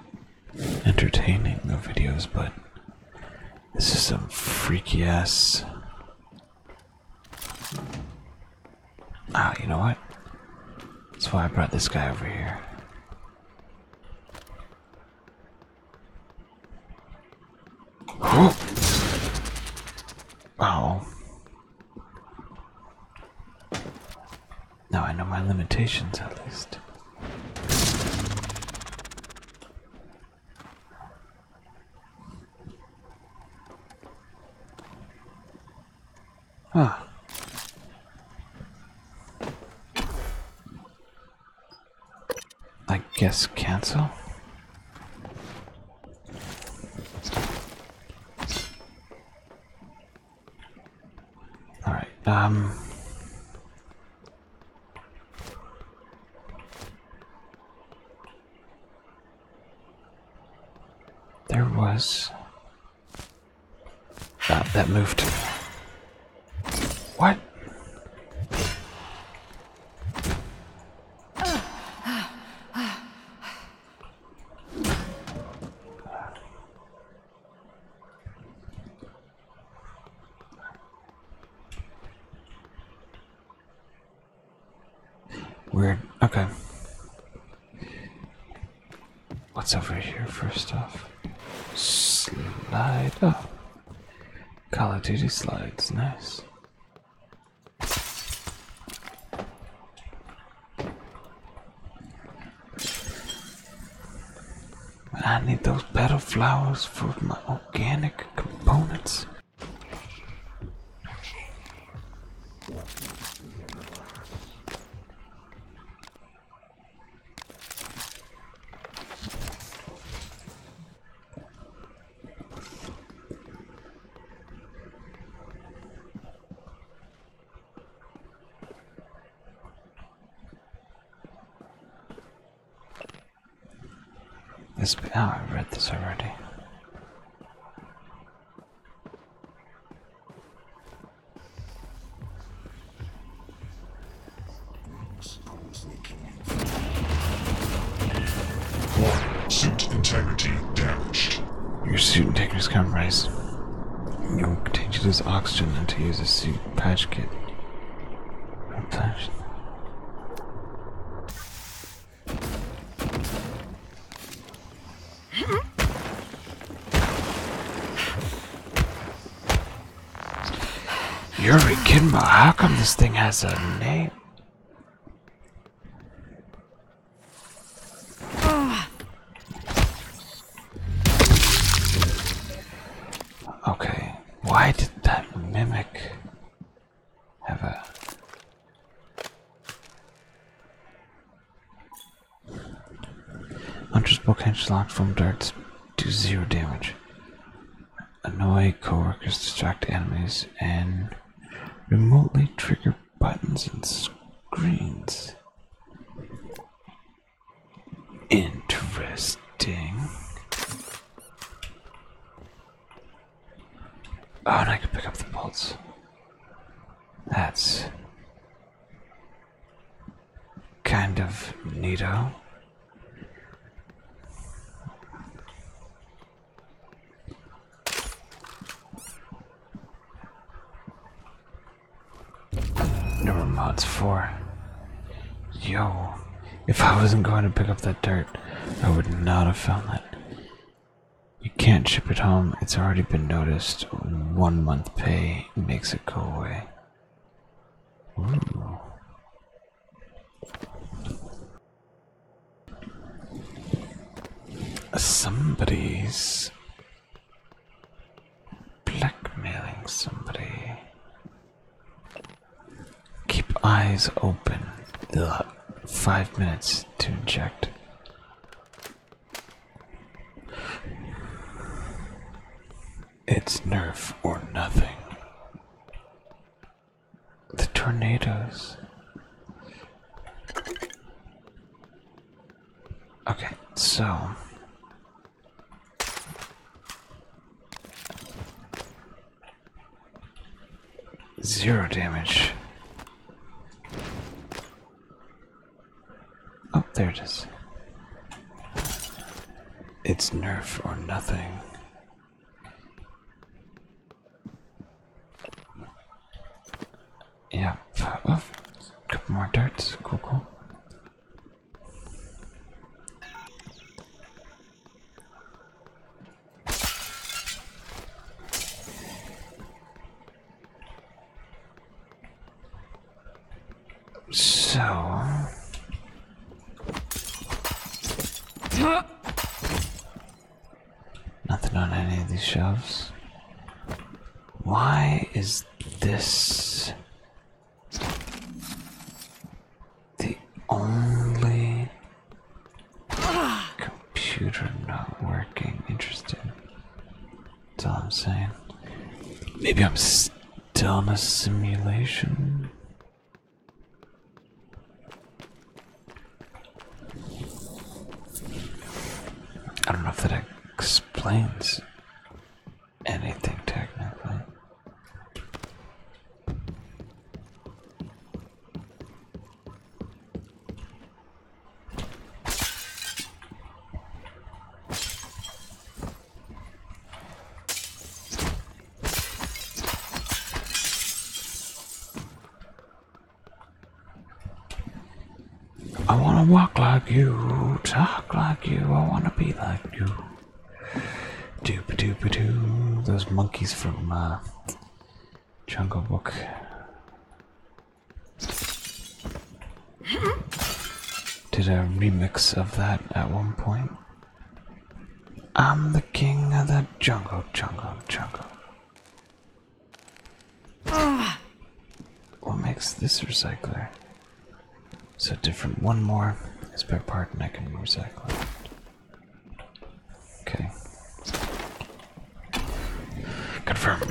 A: entertaining of videos, but this is some freaky ass. Ah, you know what? That's why I brought this guy over
B: here wow.
A: Now I know my limitations at least. Ah. I guess cancel. All right. Um. There was that uh, that moved. What?
B: Weird. Okay.
A: What's over here first off? Slide up. Oh. Call of Duty slides, nice. I need those petal flowers for my organic components. This, oh, I read this already suit integrity damaged. Your suit integrity is compromised. You're Your contagion is oxygen until you use a suit patch kit. Patch. Yuri Kinma, how come this thing has a name? Okay, why did that mimic have a... Hunter's book hinge locked from dirt to zero damage annoy coworkers, distract enemies, and remotely trigger buttons and screens. Interesting. Oh, and I can pick up the bolts. That's kind of neato. Never mods four. Yo, if I wasn't going to pick up that dirt, I would not have found that. You can't ship it home, it's already been noticed. One month pay makes it go away. Somebody's blackmailing somebody. Keep eyes open. Ugh. Five minutes to inject. It's nerve or nothing the tornadoes. Okay, so zero damage. Oh, there it is. It's nerf or nothing. Yeah, a uh, oh, couple more darts. Cool, cool.
B: So.
A: Nothing on any of these shelves. Why is this the only computer not working? Interesting. That's all I'm saying. Maybe I'm still in a simulation. I don't know if that explains anything technically. I want to walk like you, talk like you, I want to be like you. Doop doop doo. Those monkeys from uh, Jungle Book. Did a remix of that at one point. I'm the king of the jungle, jungle, jungle. Ah. What makes this recycler so different? One more is per part, and I can recycle Okay. Confirm.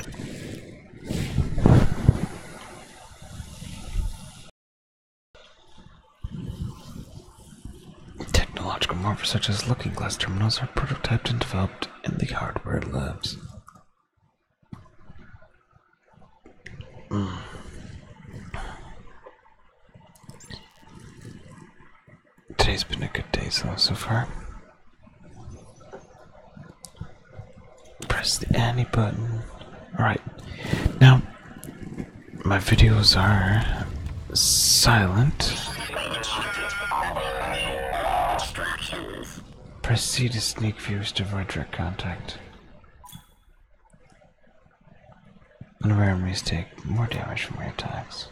A: Technological marvels such as looking glass terminals are prototyped and developed in the hardware labs. Mm. Today's been a good day so, so far. Press the any button. Alright, now my videos are silent. Proceed to sneak views to avoid direct contact. Unraries take more damage from your attacks.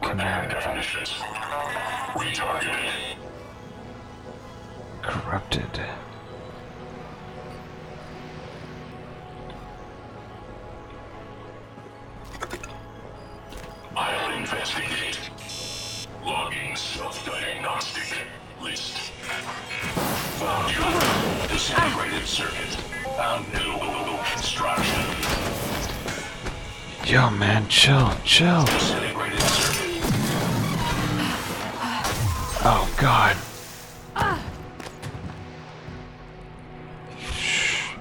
A: Command. Corrupted.
F: I'll investigate. Logging self-diagnostic. List. Found Disintegrated circuit. Found new construction.
A: Yo, man, chill, chill. Oh, God.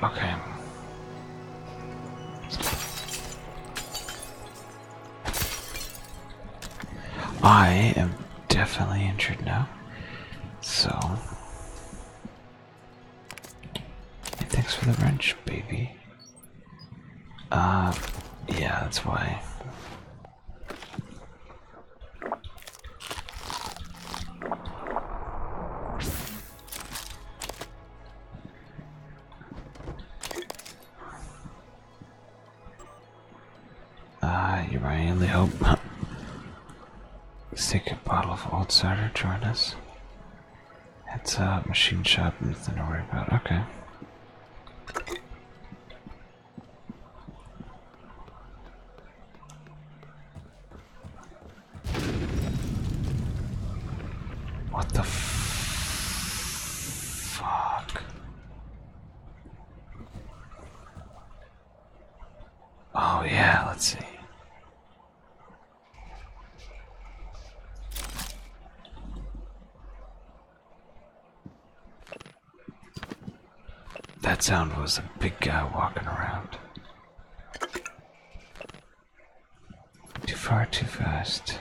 A: Okay. I am definitely injured now. So. thanks for the wrench, baby. Uh, yeah, that's why. Ah, you really hope not. Stick bottle of old cider, join us. It's a machine shop, nothing to worry about. Okay.
B: What the fuck?
A: Oh yeah, let's see. That sound was a big guy walking around. Too far, too fast.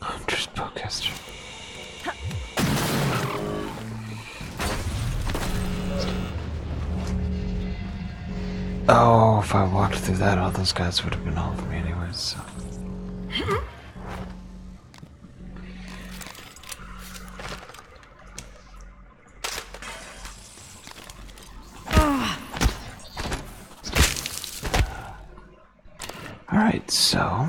A: I'm just podcaster. Oh, if I walked through that, all those guys would have been all over me anyways, so. Alright, so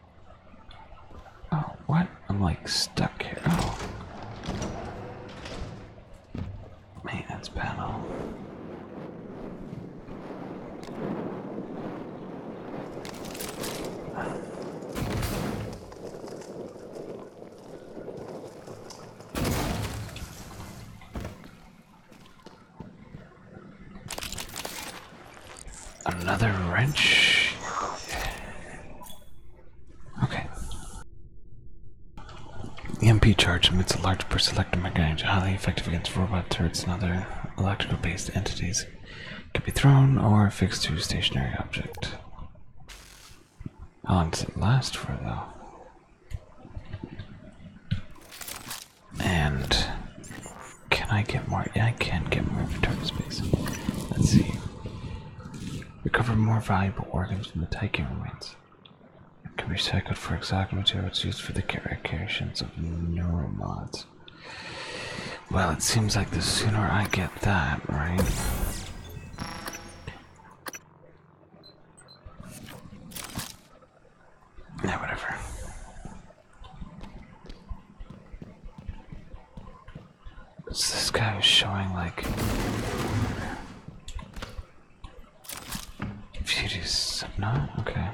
A: Oh, what? I'm like stuck here. Oh. Maintenance panel. Another wrench? Okay. The MP charge emits a large per selector range, highly effective against robot turrets and other electrical based entities. Can be thrown or fixed to a stationary object. How long does it last for though? And can I get more? Yeah, I can get more inventory space. Let's see. Recover more valuable organs from the Taikin remains. can be recycled for exact materials used for the creations of neuromods. Well, it seems like the sooner I get that, right? Yeah, whatever. It's this guy was showing like if you do not okay.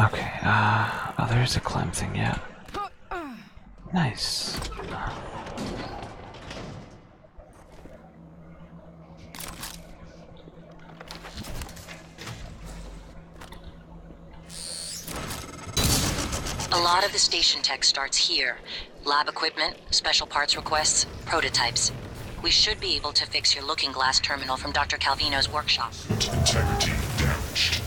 A: Okay, uh, oh, there's a climb thing, yeah. Nice.
E: A lot of the station tech starts here. Lab equipment, special parts requests, prototypes. We should be able to fix your looking glass terminal from Dr. Calvino's workshop. Asset integrity damaged.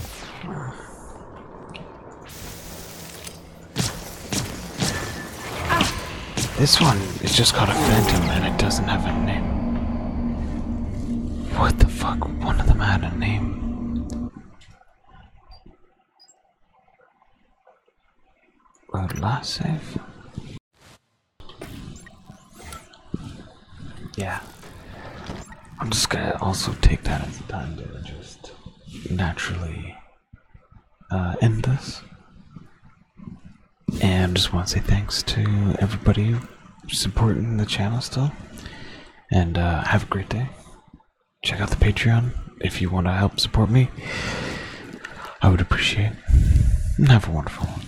A: This one is just called a phantom and it doesn't have a name. What the fuck? One of them had a name. Last save. Yeah. I'm just gonna also take that as a time to just naturally uh, end this. And just want to say thanks to everybody supporting the channel still. And uh, have a great day. Check out the
B: Patreon if you want to help support me. I would appreciate have a wonderful one.